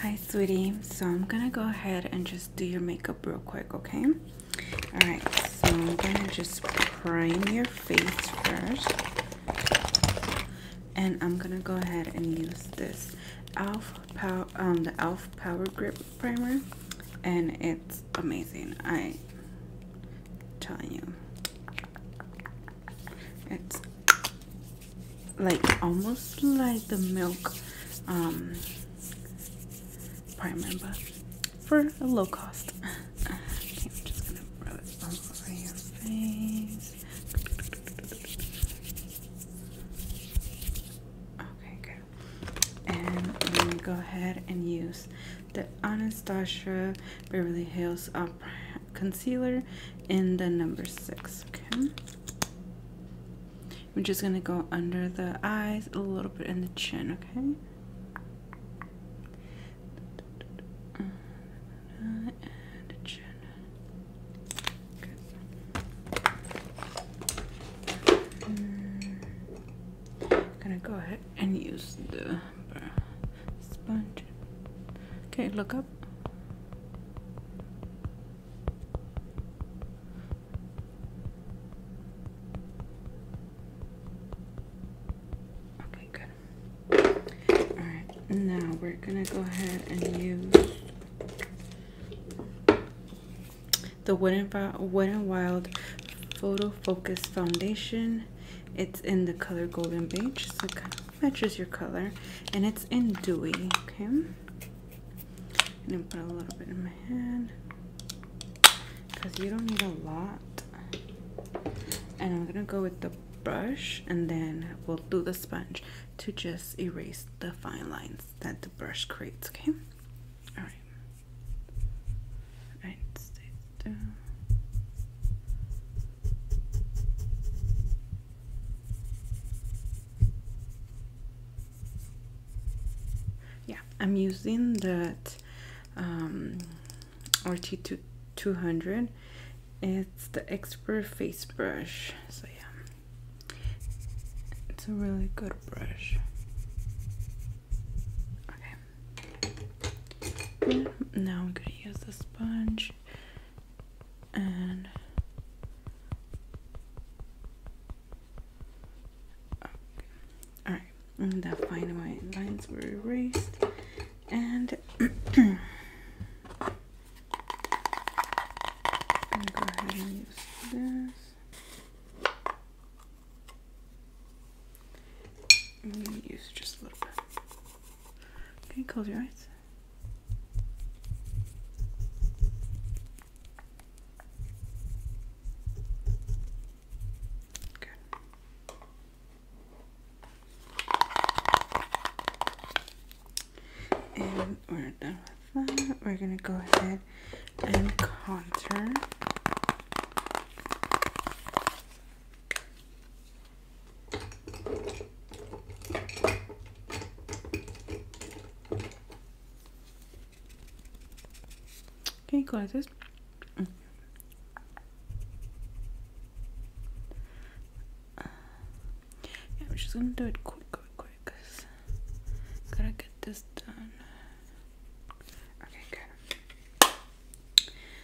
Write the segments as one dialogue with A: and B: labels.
A: Hi, sweetie. So I'm gonna go ahead and just do your makeup real quick, okay? All right, so I'm gonna just prime your face first. And I'm gonna go ahead and use this um, the e.l.f. Power Grip Primer. And it's amazing. I telling you. It's like almost like the milk um primer but for a low cost. Okay, I'm just gonna rub it over your face. good. And I'm go ahead and use the Anastasia Beverly Hills Up Concealer in the number six. Okay. We're just gonna go under the eyes, a little bit in the chin, okay? gonna go ahead and use the sponge. Okay, look up. Okay, good. Alright, now we're gonna go ahead and use the Wooden Wild Photo Focus Foundation it's in the color golden beige, so it matches your color, and it's in dewy. Okay, and then put a little bit in my hand because you don't need a lot. And I'm gonna go with the brush, and then we'll do the sponge to just erase the fine lines that the brush creates. Okay, all right. Yeah, I'm using that um, RT2 200. It's the expert face brush. So yeah, it's a really good brush. Okay. Now I'm gonna use the sponge and okay. all right, and fine my lines were erased and. I'm going to use just a little bit. Okay, close your eyes. Good. And we're done with that. We're gonna go ahead and contour. Okay, close this. I'm just gonna do it quick, quick, quick, cause gotta get this done. Okay, good.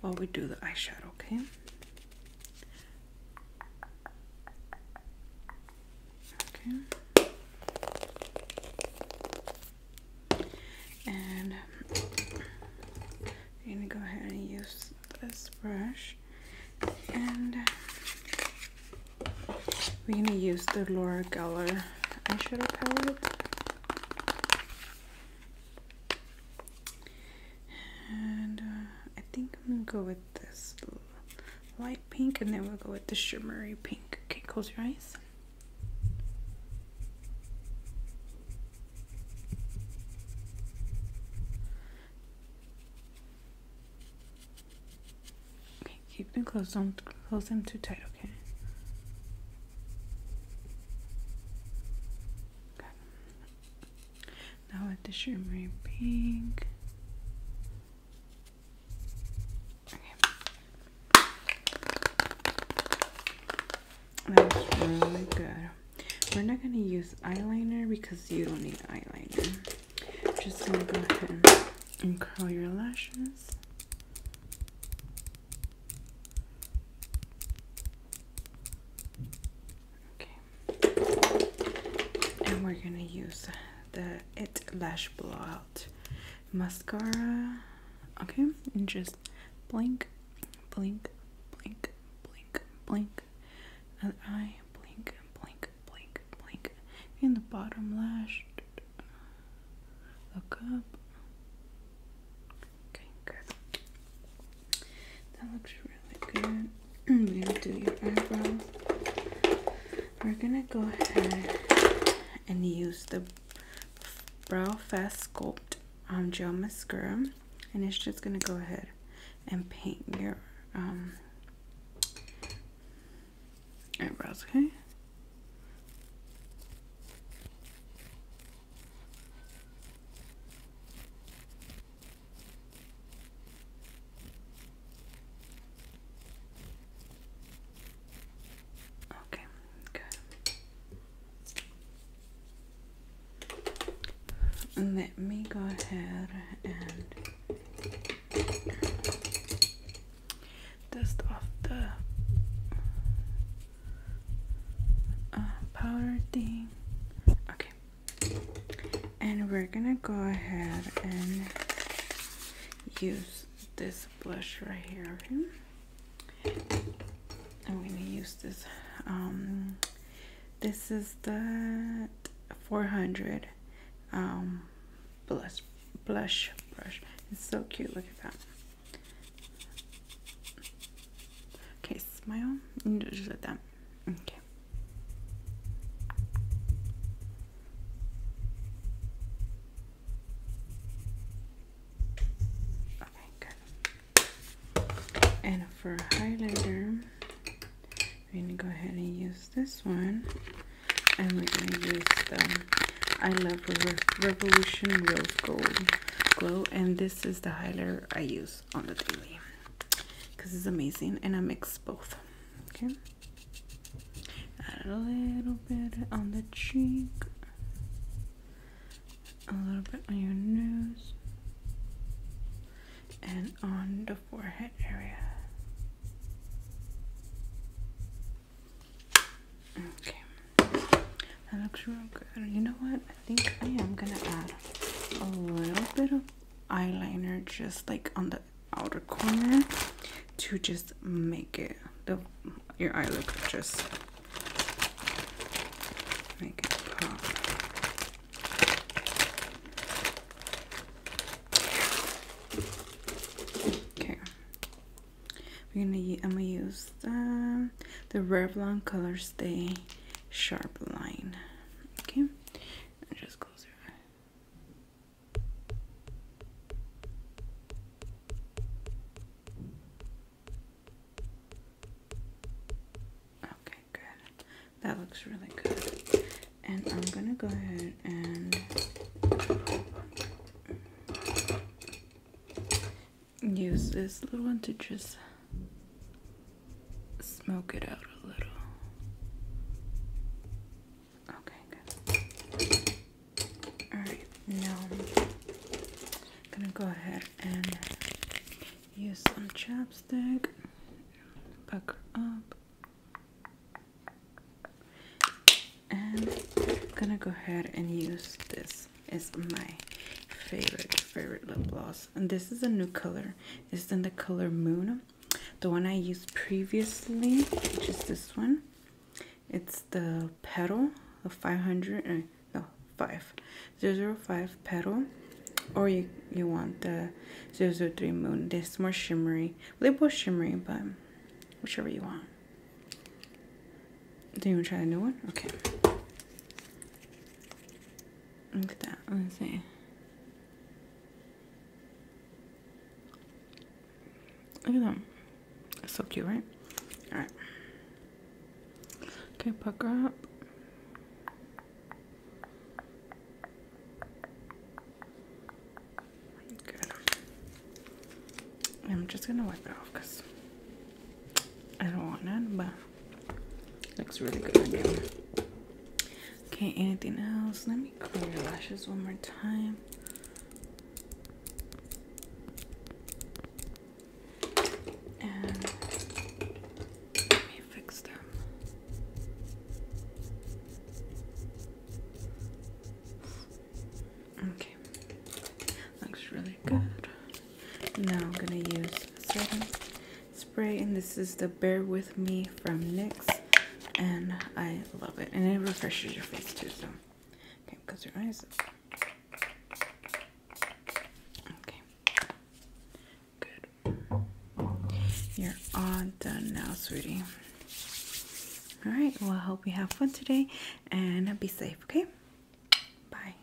A: while we do the eyeshadow, okay? Okay. And I'm gonna go ahead and use this brush. And we're gonna use the Laura Geller eyeshadow palette. And uh, I think I'm gonna go with this light pink, and then we'll go with the shimmery pink. Okay, close your eyes. Okay, keep them closed. Don't close them too tight. Okay. Now with the shimmery pink. Okay. really good. We're not gonna use eyeliner because you don't need eyeliner. just gonna go ahead and curl your lashes. Okay. And we're gonna use the It Lash Blowout Mascara. Okay, and just blink, blink, blink, blink, blink. Other eye, blink, blink, blink, blink. And the bottom lash, look up. Okay, good. That looks really good. We're gonna do your eyebrows. We're gonna go ahead and use the Brow Fast Sculpt um, Gel Mascara. And it's just gonna go ahead and paint your um, eyebrows, okay? Okay, good. let me go ahead and dust off the uh, powder thing okay and we're gonna go ahead and use this blush right here I'm gonna use this um this is the 400 um blush blush brush it's so cute look at that Okay, smile. No, just like that. Okay. Okay, good. And for highlighter, I'm gonna go ahead and use this one, and we're gonna use the I Love Revolution Rose Gold Glow, and this is the highlighter I use on the daily because it's amazing and I mix both. Okay, a little bit on the cheek, a little bit on your nose, and on the forehead area. Okay, that looks real good. You know what? I think I am gonna add a little bit of eyeliner just like on the outer corner to just make it your eye look just make it pop. Okay, we're gonna. I'm gonna use the the Revlon Color Stay sharp line. Okay, Okay, good. That looks really good. And I'm gonna go ahead and use this little one to just smoke it out a little. Okay, good. Alright, now I'm gonna go ahead and use some chapstick, pucker up, and gonna go ahead and use this. It's my favorite, favorite lip gloss and this is a new color this is in the color moon the one i used previously which is this one it's the petal of 500 uh, no 5 005 petal or you you want the 003 moon this more shimmery they both shimmery but whichever you want do you want to try the new one okay Look at that. Let me see. Look at them. That's so cute, right? Alright. Okay, pucker up. Good. I'm just gonna wipe it off because I don't want none, but Looks really good on Okay, anything else? Let me clear your lashes one more time. And let me fix them. Okay, looks really good. Now I'm gonna use a spray and this is the Bear With Me from NYX and I love it and it refreshes your face too so okay close your eyes okay good you're all done now sweetie all right well I hope you have fun today and be safe okay bye